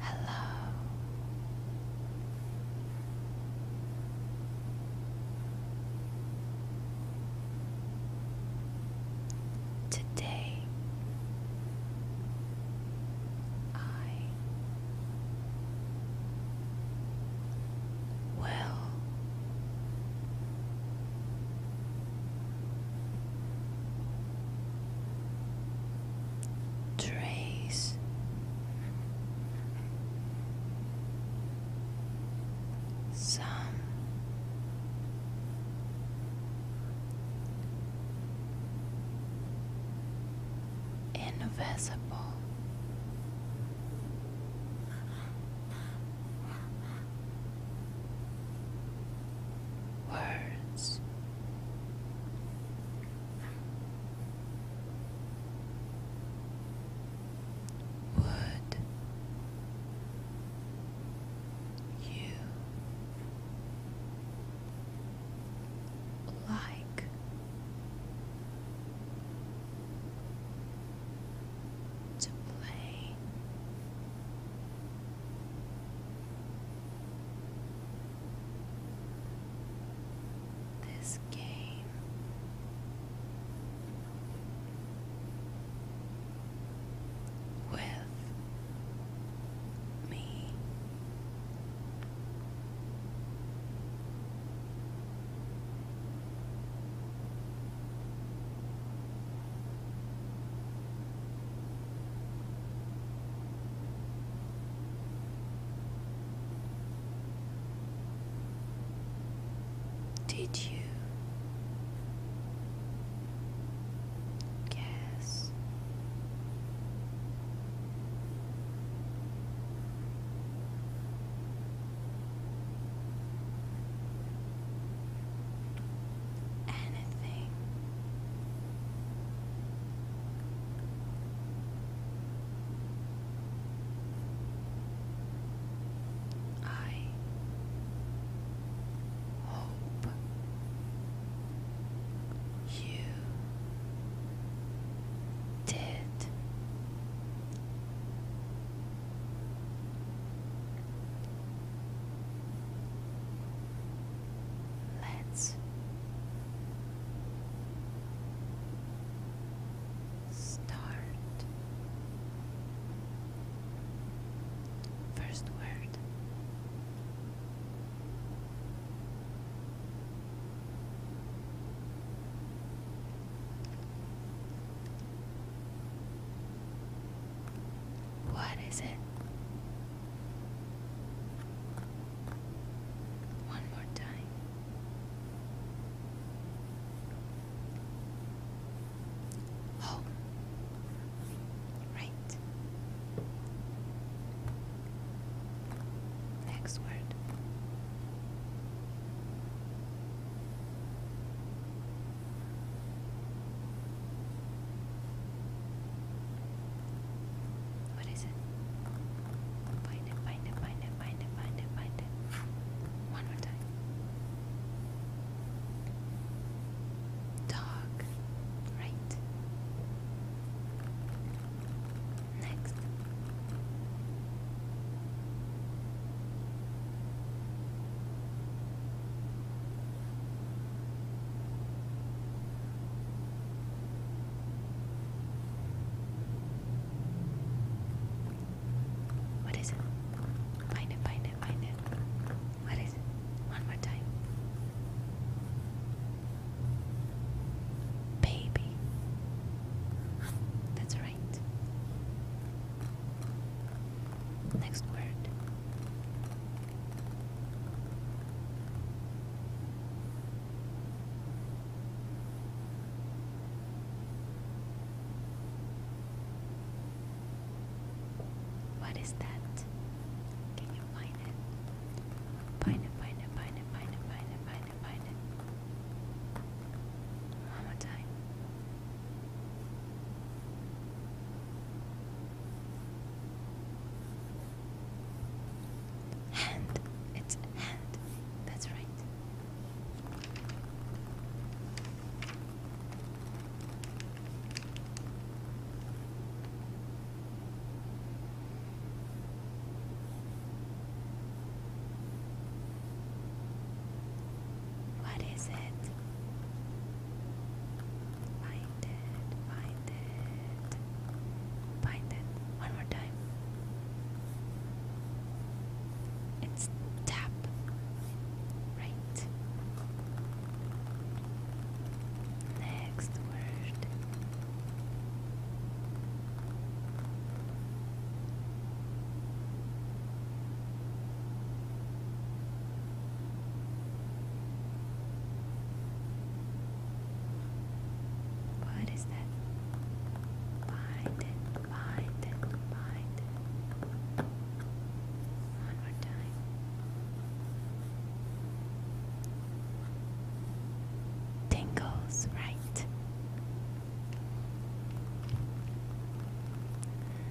Hello. Today I well. Trace some invisible. Words would you like to play. This game with me. Did you guess anything. I hope you did. Let's start. First word what is it? One more time. Oh, right. Next word. What is it? Find it, find it, find it, find it, find it, find it. One more time dog, right? Next. What is it? Find it, find it, find it. What is it? One more time. Baby. That's right. Next word. What is that? Can you find it? Find it, find it, find it, find it, Hand. It's hand. That's right. What is it? Find it, find it, find it. One more time. It's tap. Right. Next word. What is that? Bind it, bind it, bind it. One more time. Tingles, right?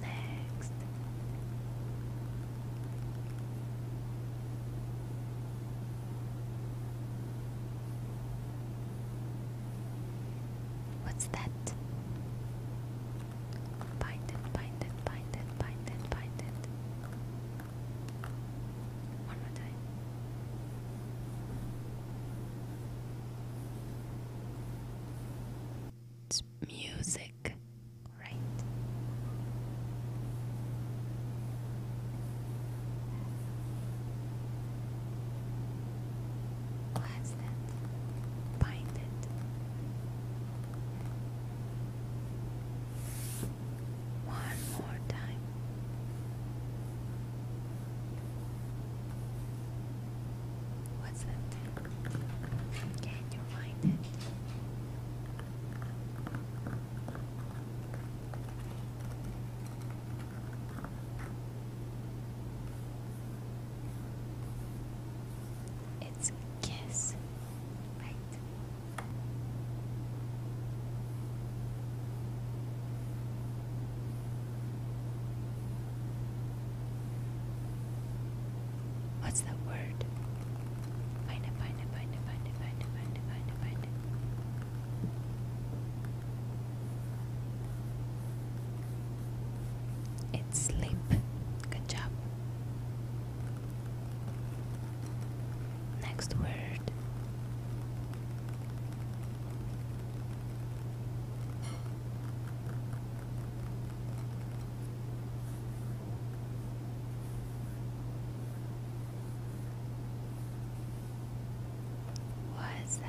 Next. What's that? Bind it, bind it, bind it, bind it, bind it. One more time. It's music, right? Blast it, bind it. One more time. What's that Can you find it? It's kiss, right? What's the word? Find it, find it, find it, find it, find it, find it, find it, find it. It's sleep. Good job. Next word. What is that?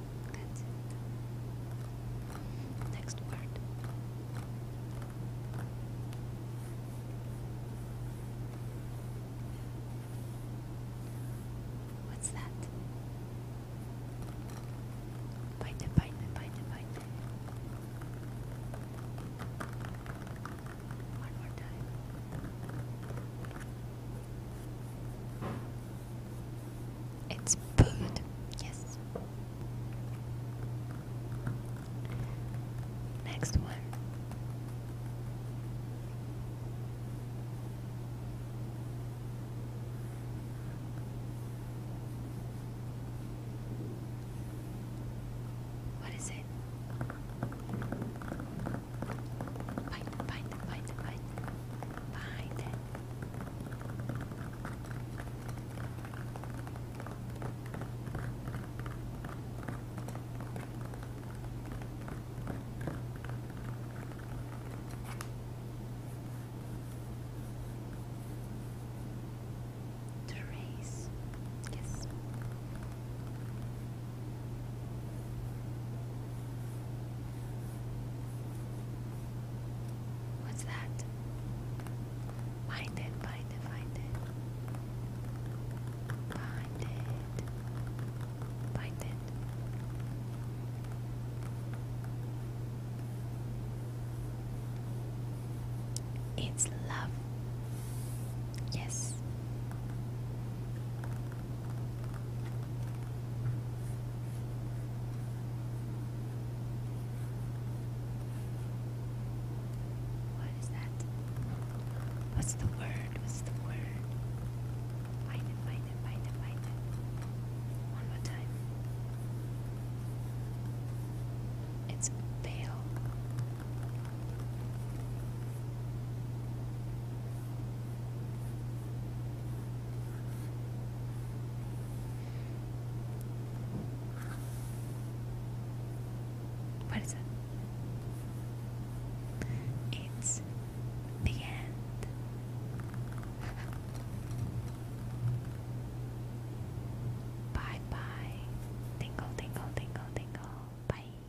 Next word. What's that? Bite it, bite it, bite it, bite it. One more time. It's food, yes. Next one. What is it? Find, find, find, find, find. Trace, yes. What's that? Find it, find it, find it. Find it. Find it. It's love. Yes. What is that? What's the word? What's the word? Find it, find it, find it, find it. One more time. It's pale. What is it? It's the end. Bye bye. Tingle, tingle, tingle, tingle. Bye.